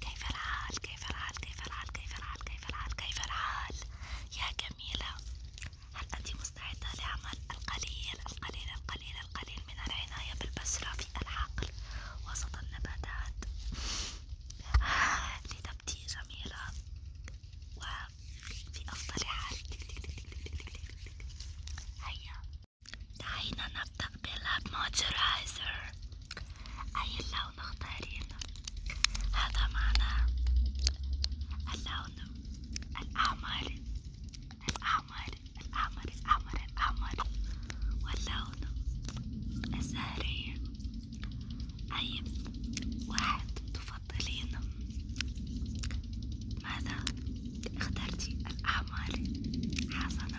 كيف الحال كيف الحال كيف الحال كيف الحال كيف الحال كيف الحال يا جميلة هل أنت مستعدة لعمل القليل القليل القليل القليل من العناية بالبذرة في الحقل وسط النباتات آه، لتبدي جميلة وفي أفضل حال هيا دعينا ننظف بلعب موتورايزر أي لون اختارين هذا معناه اللون الأحمر الأحمر الأحمر الأحمر الأحمر واللون الزهري أي طيب، واحد تفضلين ماذا اخترتي الأحمر حسنا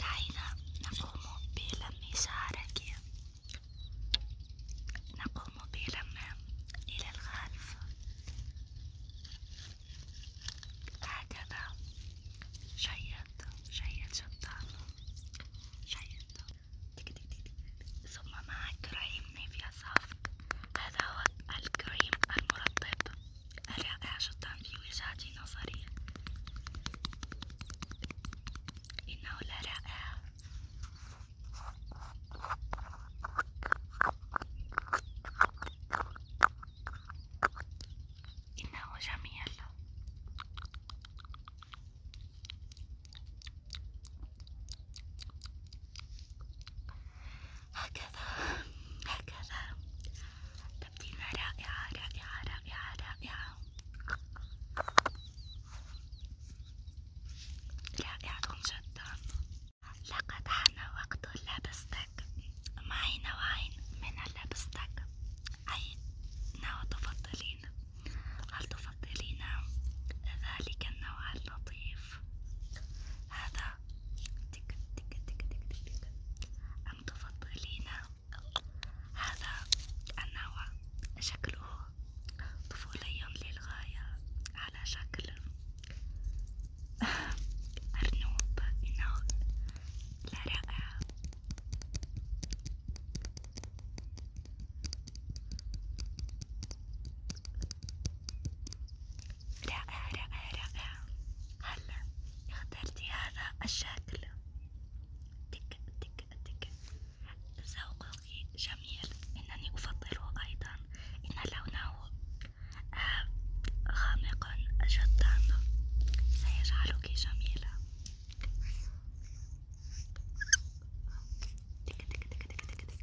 دعينا نقوم بلم شعرك نقوم بلم إلى الخلف هكذا جيد جيد جدا جيد ثم مع كريم نيفيا صافي هذا هو الكريم المرطب رائع جدا في وجهة نظري إنه لرائع إنه جميل هكذا هكذا تبديلة رائعة رائعة رائعة رائعة رائعة جدا لقد حان وقت لبستك معي نوعين من اللبستك أي نوع تفضلين؟ هل تفضلين ذلك النوع اللطيف هذا تك تك تك تك تك أم تفضلين هذا النوع شكله طفولي للغاية على شكل أرنوب إنه لا رائع رائع رائع رائع هلا اخترتي هذا الشكل تك تك تك ذوقك جميل إنني أفضله أيضا إن لونه آه، غامق جدا سيجعلك جميلة تك تك تك تك تك تك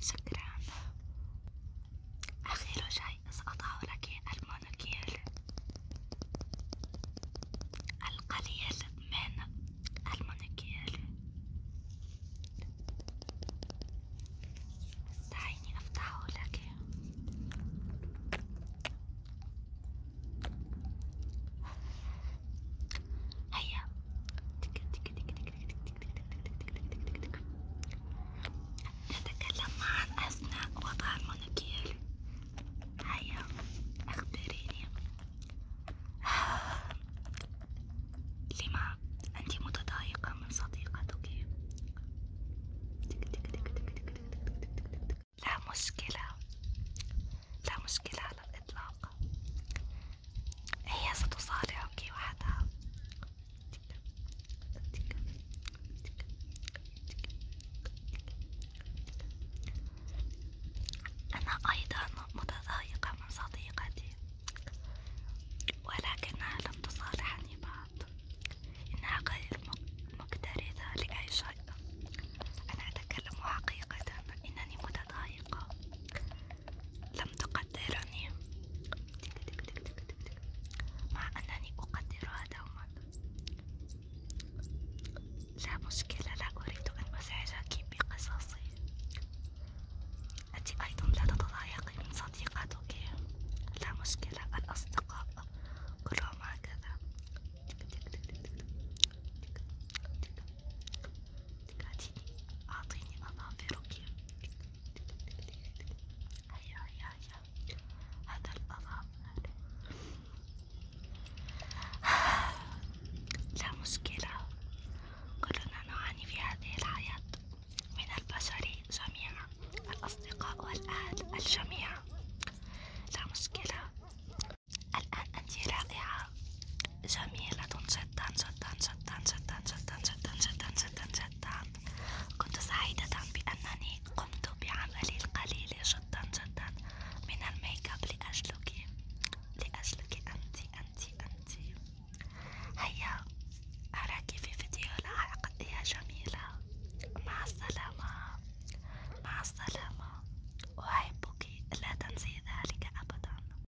شكرا أخير شيء سأضع لك المونوكيل القليل من المونوكيل دعيني أفتحه لك هيا تك تك تك تك تك تك نتكلم معا أثناء وضع المونوكير هيا أخبريني لما أنت متضايقة من صديقتك؟ لا مشكلة لا مشكلة على الإطلاق هي ستصارعك وحدها أنا أيضا متضايقة من صديقتي ولكنها لم تصالحني بعد إنها غير مقترضة لأي شيء أنا أتكلم حقيقة إنني متضايقة لم تقدرني مع أنني أقدرها دوما لا مشكلة لا أريد أن أزعجك بقصصي أنت أيضا لا تتضايقي من صديقتك لا مشكلة الأصدقاء كلهم هكذا تقعديني أعطيني أظافرك هيا هيا هيا هذا الأظافر لا مشكلة كلنا نعاني في هذه الحياة من البشر جميعا الأصدقاء والأهل الجميع لا مشكلة الآن أنت رائعة جميلة جدا جدا جدا جدا جدا جدا جدا جدا جدا كنت سعيدة بأنني قمت بعملي القليل جدا جدا من الميك اب لأجلك لأجلك أنت أنت أنت هيا أراك في فيديو لاحق يا جميلة مع السلامة مع السلامة أحبك لا تنسي ذلك أبدا